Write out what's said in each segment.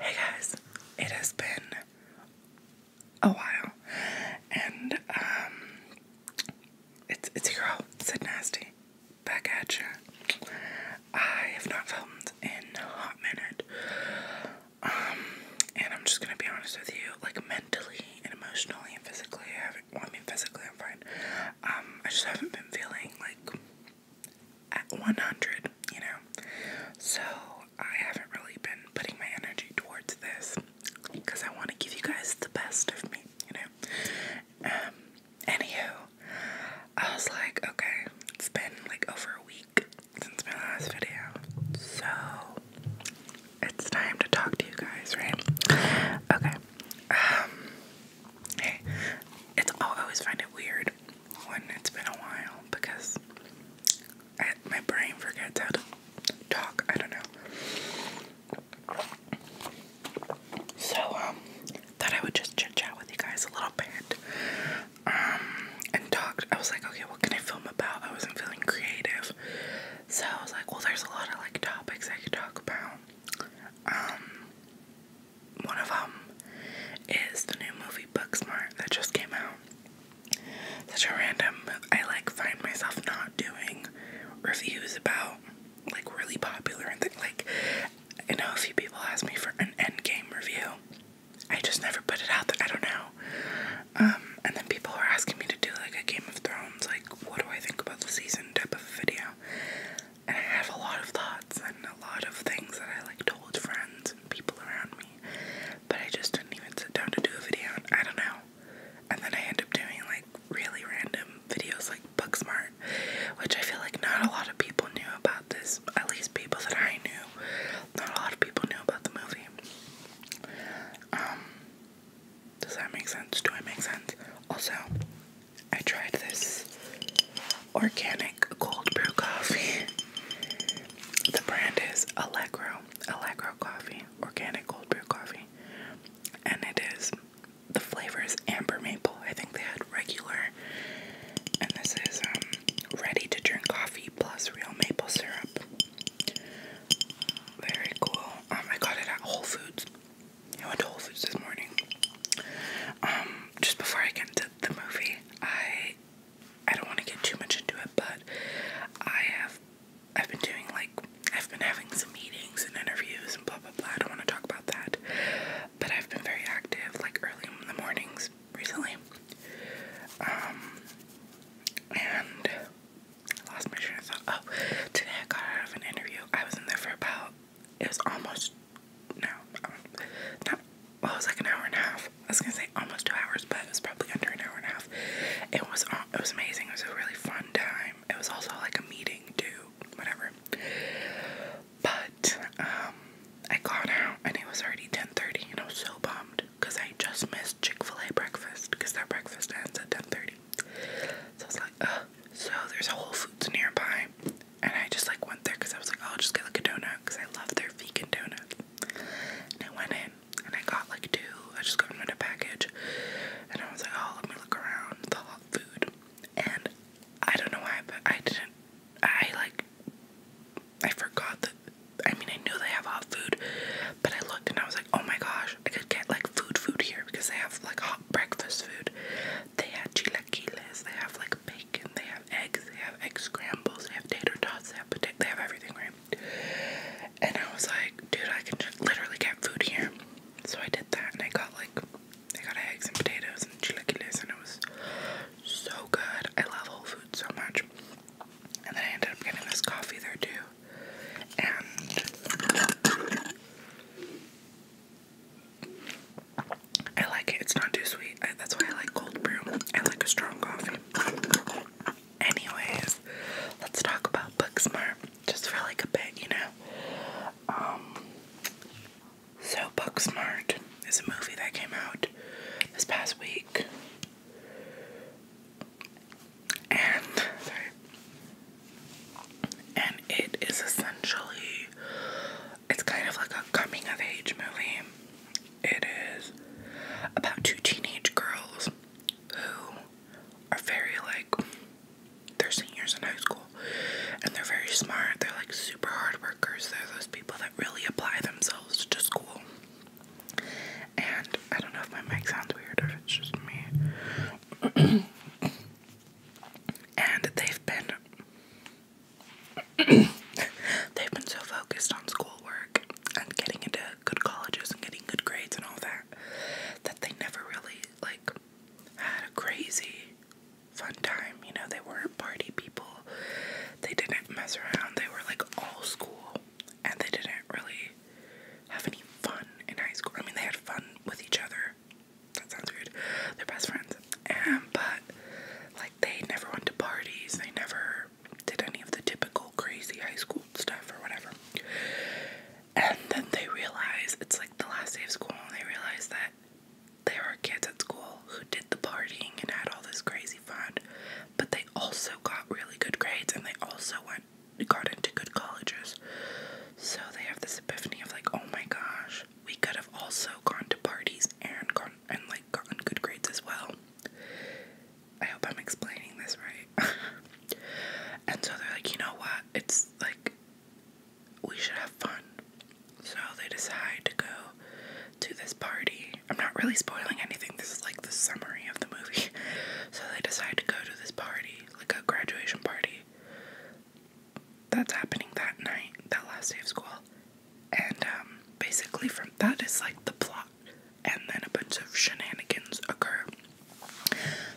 Hey guys, it has been a while, and um, it's it's your girl Sid Nasty back at you. I have not filmed in a hot minute, um, and I'm just gonna be honest with you, like mentally and emotionally and physically. I haven't. Well, I mean, physically I'm fine. Um, I just haven't been feeling like at 100, you know? So I haven't really been putting my energy towards this because I want to give you guys the best of me, you know? Um, anywho, I was like, okay, it's been like over a week since my last video, so it's time to talk to you guys, right? Okay. Um, hey, it's, i always find it weird when it's been a while because I, my brain forgets how to talk. I don't know. So, um, thought I would just chit chat with you guys a little bit. Um, and talked. I was like, okay, what can I film about? I wasn't feeling creative. So I was like, well, there's a lot of like topics I could talk about. Um, one of them is the new movie Booksmart that just came out. Such a random, I like find myself not doing reviews about like really popular and things. Like, I know a few people ask me for an endgame review. I just never put it out there. I don't know. Um, and then people are asking me to do like a Game of Thrones, like what do I think about the season type of video. And I have a lot of thoughts and a lot of things that I like told friends and people around me but I just didn't even sit down to do a video. I don't know. And then I end up doing like really random videos like Booksmart, which I feel like not a lot of people knew about this. At least people that I knew. Not a lot of people knew about the movie. Um, does that make sense? Do I make sense? Also, I tried this organic cold brew coffee. The brand is Allegro, Allegro Coffee, organic cold brew coffee. And it is, the flavor is amber maple. I think they had regular. And this is um, ready to drink coffee plus real maple syrup. Very cool. Um, I got it at Whole Foods. I went to Whole Foods this morning. Um, just before I get into the movie, I I don't want to get too much into it, but I have I've been doing like I've been having some meetings and interviews and blah blah blah. I don't want to talk about that. But I've been very active like early in the mornings recently. Um and I lost my train of thought. Oh, today I got out of an interview. I was in there for about it was almost no, um, well, it was like an hour and a half. I was gonna say almost two hours, but it was probably under an hour and a half. It was it was amazing. It was a really fun time. It was also like a meeting too, whatever. But um, I got out and it was already ten thirty, and I was so bummed because I just missed Chick Fil A breakfast because their breakfast ends at ten thirty. So I was like, uh. So there's a Whole Foods nearby, and I just like went there because I was like, oh, I'll just get like a donut because I love their vegan donuts. And I went in and I got like two. I just got them in a package. And I was like, oh, let me look around the hot food. And I don't know why, but I didn't. I like. I forgot that. I mean, I knew they have hot food, but I looked and I was like, oh my gosh, I could get like food food here because they have like hot breakfast food. They had chilaquiles, they have like bacon, they have." eggs, they have egg scrambles, they have tater tots, they have everything, And I was like, dude, I can just literally get food here. So I did that, and I got like, I got eggs and potatoes and chilaquiles, and it was so good. I love Whole Foods so much. And then I ended up getting this coffee there too. And I like it. It's not too sweet that's why I like cold brew. I like a strong coffee. Anyways, let's talk about Booksmart just for like a bit, you know. Um, so Booksmart is a movie that came out this past week, and and it is essentially it's kind of like a coming of age movie. It is about two teenage girls who are very like they're seniors in high school and they're very smart. They're like super hard workers. They're those people that really apply themselves to school. And I don't know if my mic sounds weird or if it's just me. and they've been They've been so focused on schoolwork and getting into good colleges and getting good grades and all that that they never really like had a crazy fun time. You know, they weren't party people. They didn't mess around. They were like all school and they didn't really have any fun in high school. I mean, they had fun with each other. That sounds weird. They're best friends. And um, but like they never went to parties. They never did any of the typical crazy high school stuff or whatever. And then they realize it's like the last day of school, and they realize that there are kids at school who did the partying and had all this crazy fun, but they also got really good grades and they also went got into good colleges. So they have this epiphany of like, oh my gosh, we could have also gone to parties and gone and like gotten good grades as well. I hope I'm explaining this right. and so they're like, you know what? It's like we should have fun. So they decide to go to this party. I'm not really spoiling anything. This is like the summary of the movie. So they decide to go to this party, like a graduation party. That's happening that night, that last day of school. And um, basically, from that is like the plot, and then a bunch of shenanigans occur.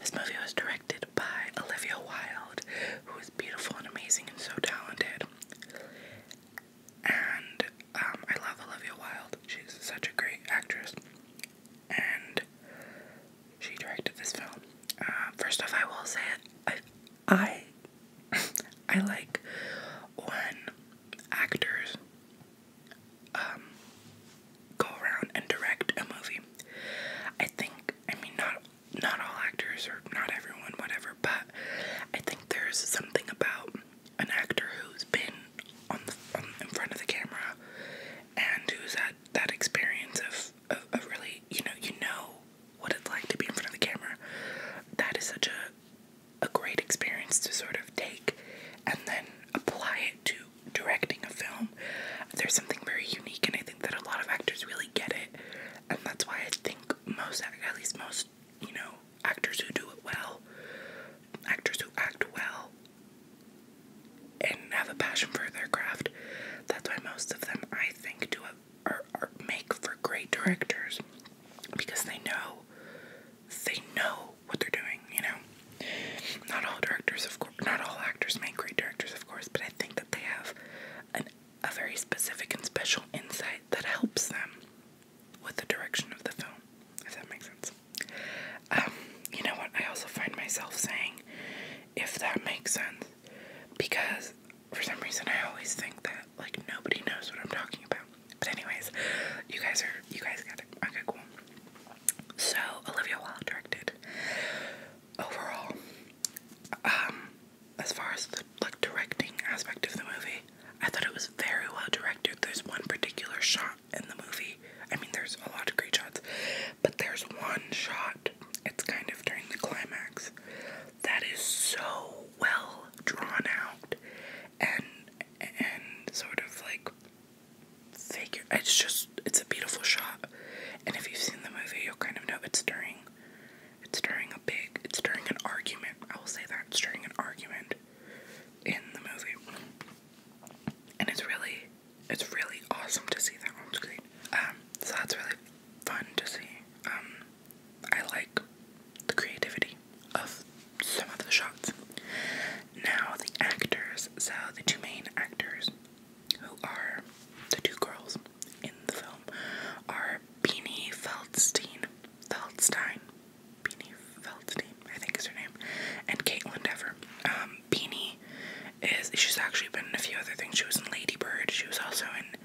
This movie was directed by Olivia Wilde, who is beautiful and amazing and so talented. And um, I love Olivia Wilde, she's such a great actress. And she directed this film. Uh, first off, I will say it. I I like when actors um, go around and direct a movie. I think, I mean, not not all actors or not everyone, whatever, but I think there's something about an actor who's been on the in front of the camera and who's had that experience of, of, really, you know, you know what it's like to be in front of the camera. That is such a a great experience to sort of take and then apply it to directing a film. There's something very unique, and I think that a lot of actors really get it, and that's why I think most, at least most, you know, actors who do it well, actors who act well and have a passion for their craft, that's why most of them, I think, do it or, make for great directors because they know they know what they're doing, you know. Not all directors of course not all actors make great directors of course, but I think that they have an a very specific and special insight that helps them with the direction of the film, if that makes sense. Um, you know what? I also find myself saying, if that makes sense, because for some reason I always think that like nobody knows what I'm talking about. But anyways, you guys are you guys got it. Okay, cool. So Olivia Wilde directed. Overall, um, as far as the like directing aspect of the movie, I thought it was very well directed. There's one particular shot in the movie. I mean, there's a lot of great shots, but there's one shot. It's kind of during the climax that is so well drawn out and and sort of like figure it's just it's a beautiful shot. And if you've seen the movie you'll kind of know it's during it's during a big it's during an argument. I will say that it's during an argument in the movie. And it's really it's really awesome to see that on screen. Um, so that's really fun to see. Um, I like the creativity of some of the shots. Now, the actors. So, the two main actors who are the two girls in the film are Beanie Feldstein, Feldstein, Beanie Feldstein, I think is her name, and Caitlin Dever. Um, Beanie is, she's actually been in a few other things. She was in Lady Bird, she was also in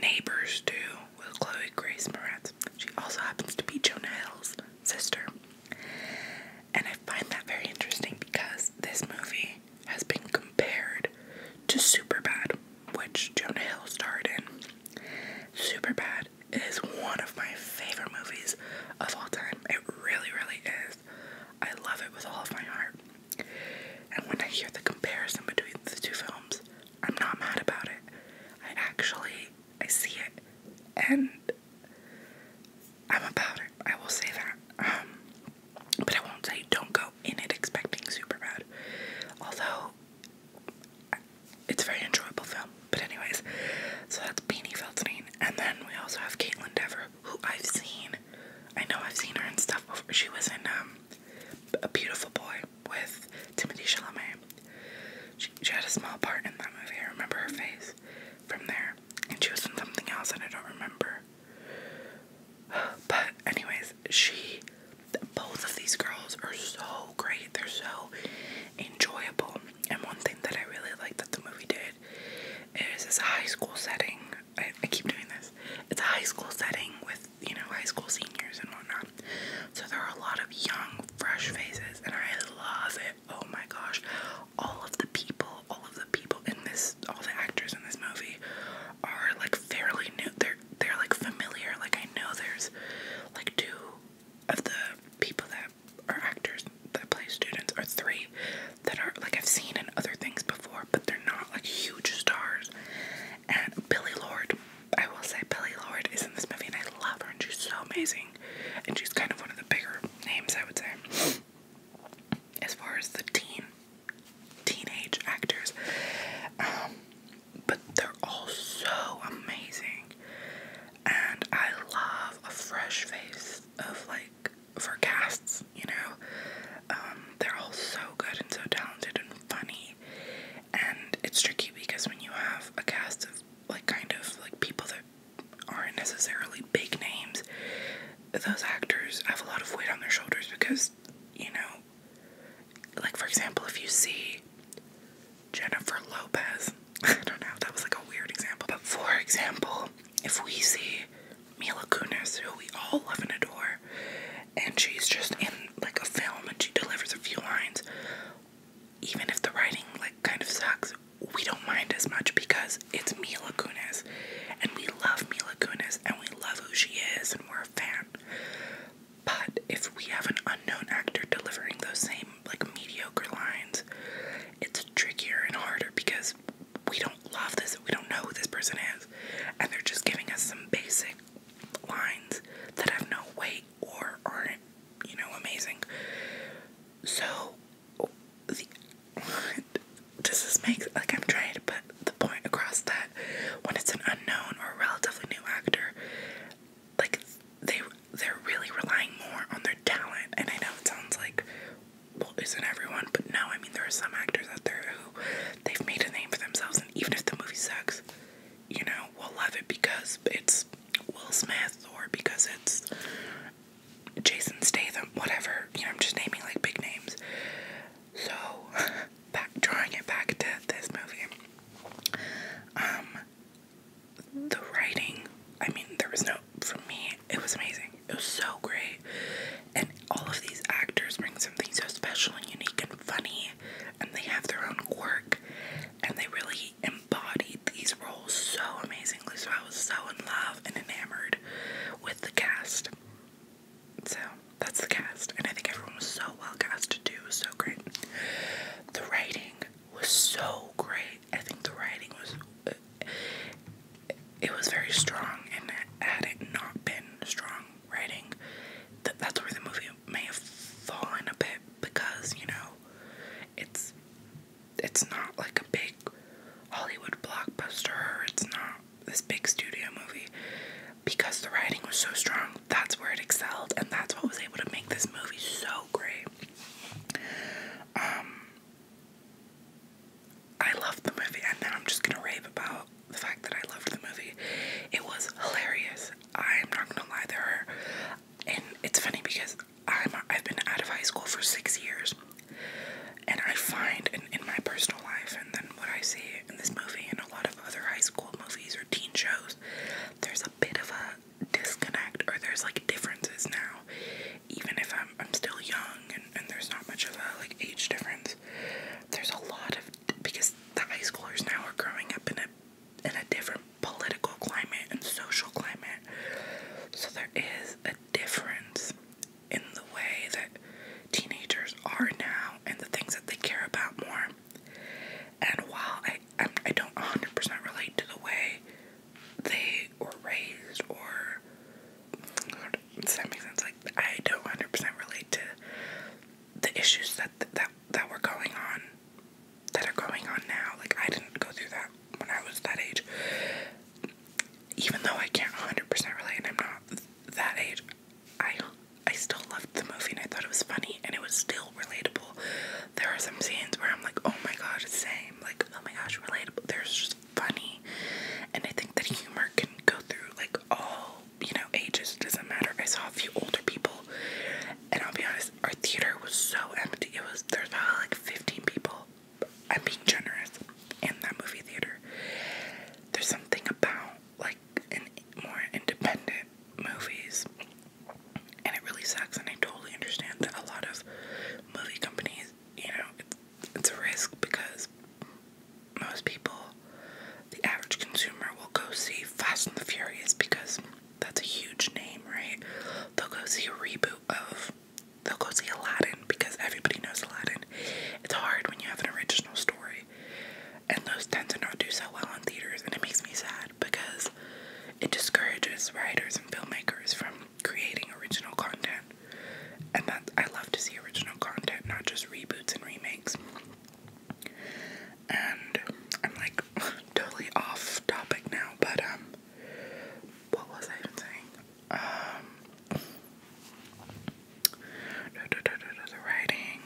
Neighbors too with Chloe Grace Moretz. She also happens to be Jonah Hill's sister. And I find that very interesting because this movie has been compared to Superbad, which Jonah Hill starred in. Superbad is one of my favorite movies of all time. It really, really is. I love it with all of my heart. And when I hear the comparison between the two films, I'm not mad about it. I actually I see it and I'm about it. I will say that. Um but I won't say don't go in it expecting super bad. Although it's a very enjoyable film. But anyways, so that's Beanie Feldstein. And then we also have Caitlin Dever, who I've seen. I know I've seen her and stuff before. She was in um, A Beautiful Boy with Timothy Chalamet. She, she had a small part in that movie. I remember her face from there, and she was in something else that I don't remember. But anyways, she, both of these girls are so great. They're so enjoyable. And one thing that I really like that the movie did is it's a high school setting. I, I keep doing this. It's a high school setting with you know, high school seniors and whatnot. So there are a lot of young, fresh faces, and I love it. Oh my gosh. All of the people, all of the people in this, all the actors in this movie are like fairly new. They're they're like familiar. Like I know there's like two of the people that are actors that play students, are three that are like I've seen in other things before, but they're not like huge stars. And Billy Lord, I will say Billy Lord is in this movie and I love her and she's so amazing. And she's kind of one of the bigger names I would say. As far as the teen teenage actors. Um, but they're all so amazing. And I love a fresh face of like for casts, you know. Um, they're all so good and so talented and funny and it's tricky because when you have a cast of like kind of like people that aren't necessarily big names, those actors have a lot of weight on their shoulders because you know, like for example, if you see Jennifer Lopez, I don't know, if that was like a weird example, but for example, if we see Mila Kunis, who we all love and adore, and she's just in like a film and she delivers a few lines, even if the writing like kind of sucks, we don't mind as much because it's Mila Kunis, and we love Mila Kunis, and we love who she is, and we're a fan. But if we have an unknown actor delivering those same like mediocre lines, it's trickier and harder because we don't love this, we don't know who this person is, and they're just giving us some basic lines that have no weight or aren't, you know, amazing. So, does this make like I'm trying to put the point across that when it's an unknown or relatively new actor, like they they're really relying more on their talent. And I know it sounds like well, isn't everyone? But no, I mean there are some actors out there who they've made a name for themselves, and even if the movie sucks, you know, we will love it because it's Will Smith or because it's Jason Statham, whatever. You know, I'm just naming like big names. So, back drawing it back to this movie. Um, the writing, I mean, there was no, for me, it was amazing. It was so great. And all of these actors bring something so special and unique and funny, and they have their own quirk and they really embodied these roles so amazingly. So I was so in love and enamored with the cast. So that's the cast, and I think everyone was so well casted too. was so great. The writing was so great. I think the writing was. Uh, it was very strong, and had it not been strong writing, th that's where the movie may have fallen a bit because you know it's it's not like a big Hollywood blockbuster. It's not this big studio movie because the writing was so strong. That's where it excelled, and that's what was able to make this movie so great. Um, I loved the movie, and now I'm just gonna rave about the fact that I loved the movie. It was hilarious. I'm not gonna lie, there are and it's funny because I'm I've been out of high school for six years, and I find in, my personal life, and then what I see in this movie and a lot of other high school movies or teen shows, there's a bit of a disconnect, or there's like differences now. Even if I'm I'm still young and, and there's not much of a like age difference, there's a lot of because the high schoolers now are growing up in a in a different political climate and social climate. So there is a difference in the way that teenagers are now and the things that they care about more. And while I I'm, I i do not 100% relate to the way they were raised or does that make sense? Like I don't 100% relate to the issues that that that were going on that are going on now. Like, I didn't go through that when I was that age. Even though I can't 100% relate and I'm not that age, I, I still loved the movie and I thought it was funny and it was still relatable. There are some scenes where I'm like, oh my gosh, same. Like, oh my gosh, relatable. There's just funny. And I think that humor can go through like all, you know, ages. doesn't matter. I saw a few older people, and I'll be honest our theater was so empty. It was there's probably like 15 people. I'm being generous in that movie theater. There's something about like in more independent movies, and it really sucks. And I totally understand that a lot of movie companies, you know, it's a risk because most people, the average consumer, will go see Fast and the Furious because that's a huge name, right? They'll go see a reboot of, they'll go see Aladdin because everybody knows Aladdin. It's hard when you have an original story, and those tend to not do so well in theaters, and it makes me sad because it discourages writers and filmmakers from creating original content. And that I love to see original content, not just reboots and remakes. And I'm like totally off topic now, but um, what was I saying? Um, the writing.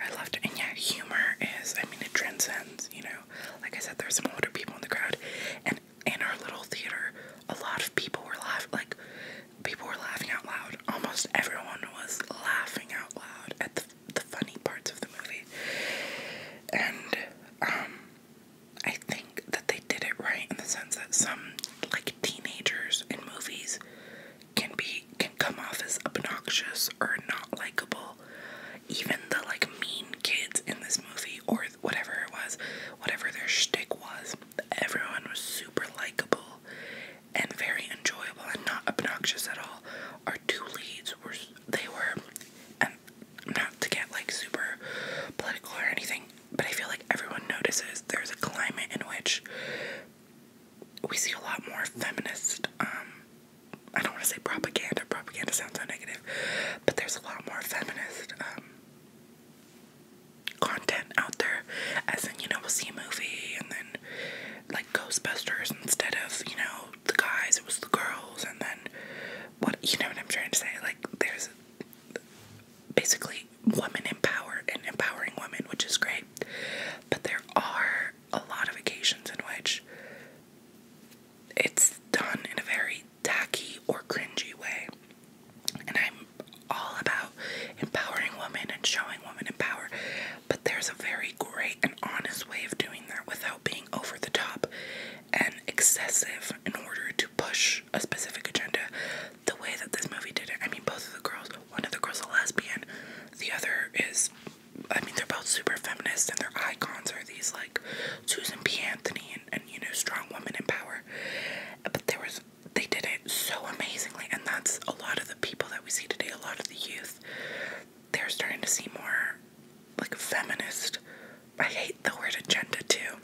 I loved it, and yeah, humor is. I mean, it transcends. You know, like I said, there's some older people in the crowd, and in our little theater, a lot of people were laughing. Like, people were laughing out loud. Almost everyone was laughing out loud at the the funny parts of the movie. And um, I think that they did it right in the sense that some like teenagers in movies can be can come off as obnoxious or not likable. Even the like mean kids in this movie or whatever it was, whatever their shtick was, everyone was super likable and very enjoyable and not obnoxious at all. Our two leads were they were, and um, not to get like super political or anything, but I feel like everyone notices there's a climate in which we see a lot more feminist. Um, I don't want to say propaganda. Propaganda sounds so negative, but there's a lot more feminist. Um, content out there as in you know we'll see a movie and then like Ghostbusters instead of, you know, the guys, it was the girls, and then what you know what I'm trying to say? Like, there's basically women in power and empowering women, which is great, but there are a lot of occasions in which it's done in a very tacky or cringy way. And I'm all about empowering women and showing women in power. But there's a very great and honest way of doing that without being over the top and excessive in order to push a specific agenda. The way that this movie did it, I mean, both of the girls, one of the girls is a lesbian, the other is, I mean, they're both super feminist, and their icons are these like Susan P. Anthony and, and you know, strong women in power. But there was, they did it so amazingly, and that's a lot of the people that we see today, a lot of the youth they're starting to see more like feminist. I hate the word agenda too.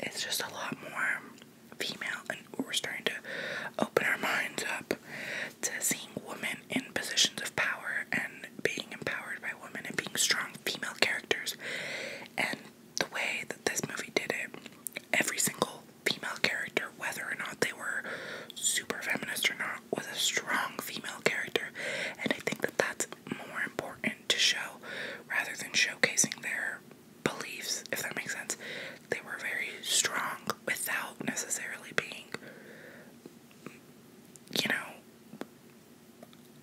It's just a lot more female, and we're starting to open our minds up to seeing women in positions of power and being empowered by women and being strong female characters. And the way that this movie did it, every single female character, whether or not they were super feminist or not, was a strong female character. And I think that that's more important to show rather than showcasing their beliefs, if that makes sense. They were very strong without necessarily being, you know,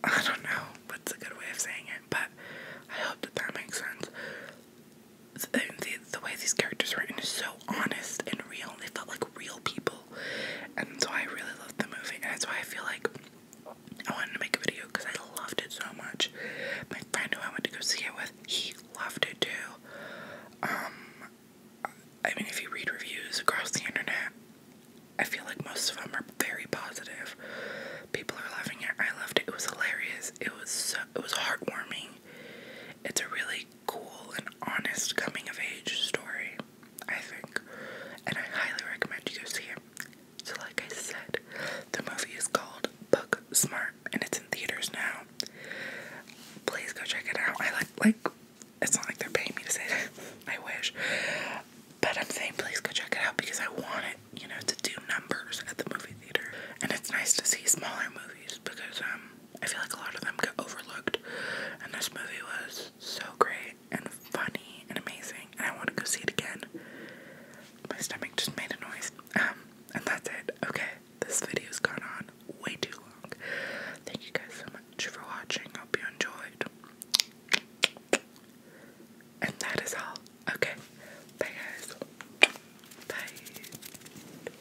I don't know what's a good way of saying it, but I hope that that makes sense the, the, way these characters were written is so honest and real. They felt like real people. And so I really loved the movie. And that's why I feel like I wanted to make a video because I loved it so much. My friend who I went to go see it with, he loved it too. Um, I mean, if you read reviews across the internet, I feel like most of them are very positive. People are loving it. I loved it. It was hilarious. It was so, it was heartwarming. It's a really cool and honest coming of age story, I think. And I highly recommend you go see it. So, like I said, the movie is called Book and it's in theaters now. Please go check it out. I like, like, it's not like they're paying me to say that. I wish. But I'm saying please go check it out because I want it, you know, to do numbers at the movie theater. And it's nice to see smaller movies because, um, I feel like a lot of them get overlooked, and this movie was so great and funny and amazing, and I want to go see it again. My stomach just made a noise. Um, and that's it. Okay, this video's gone on way too long. Thank you guys so much for watching. Hope you enjoyed. And that is all. Okay, bye guys. Bye.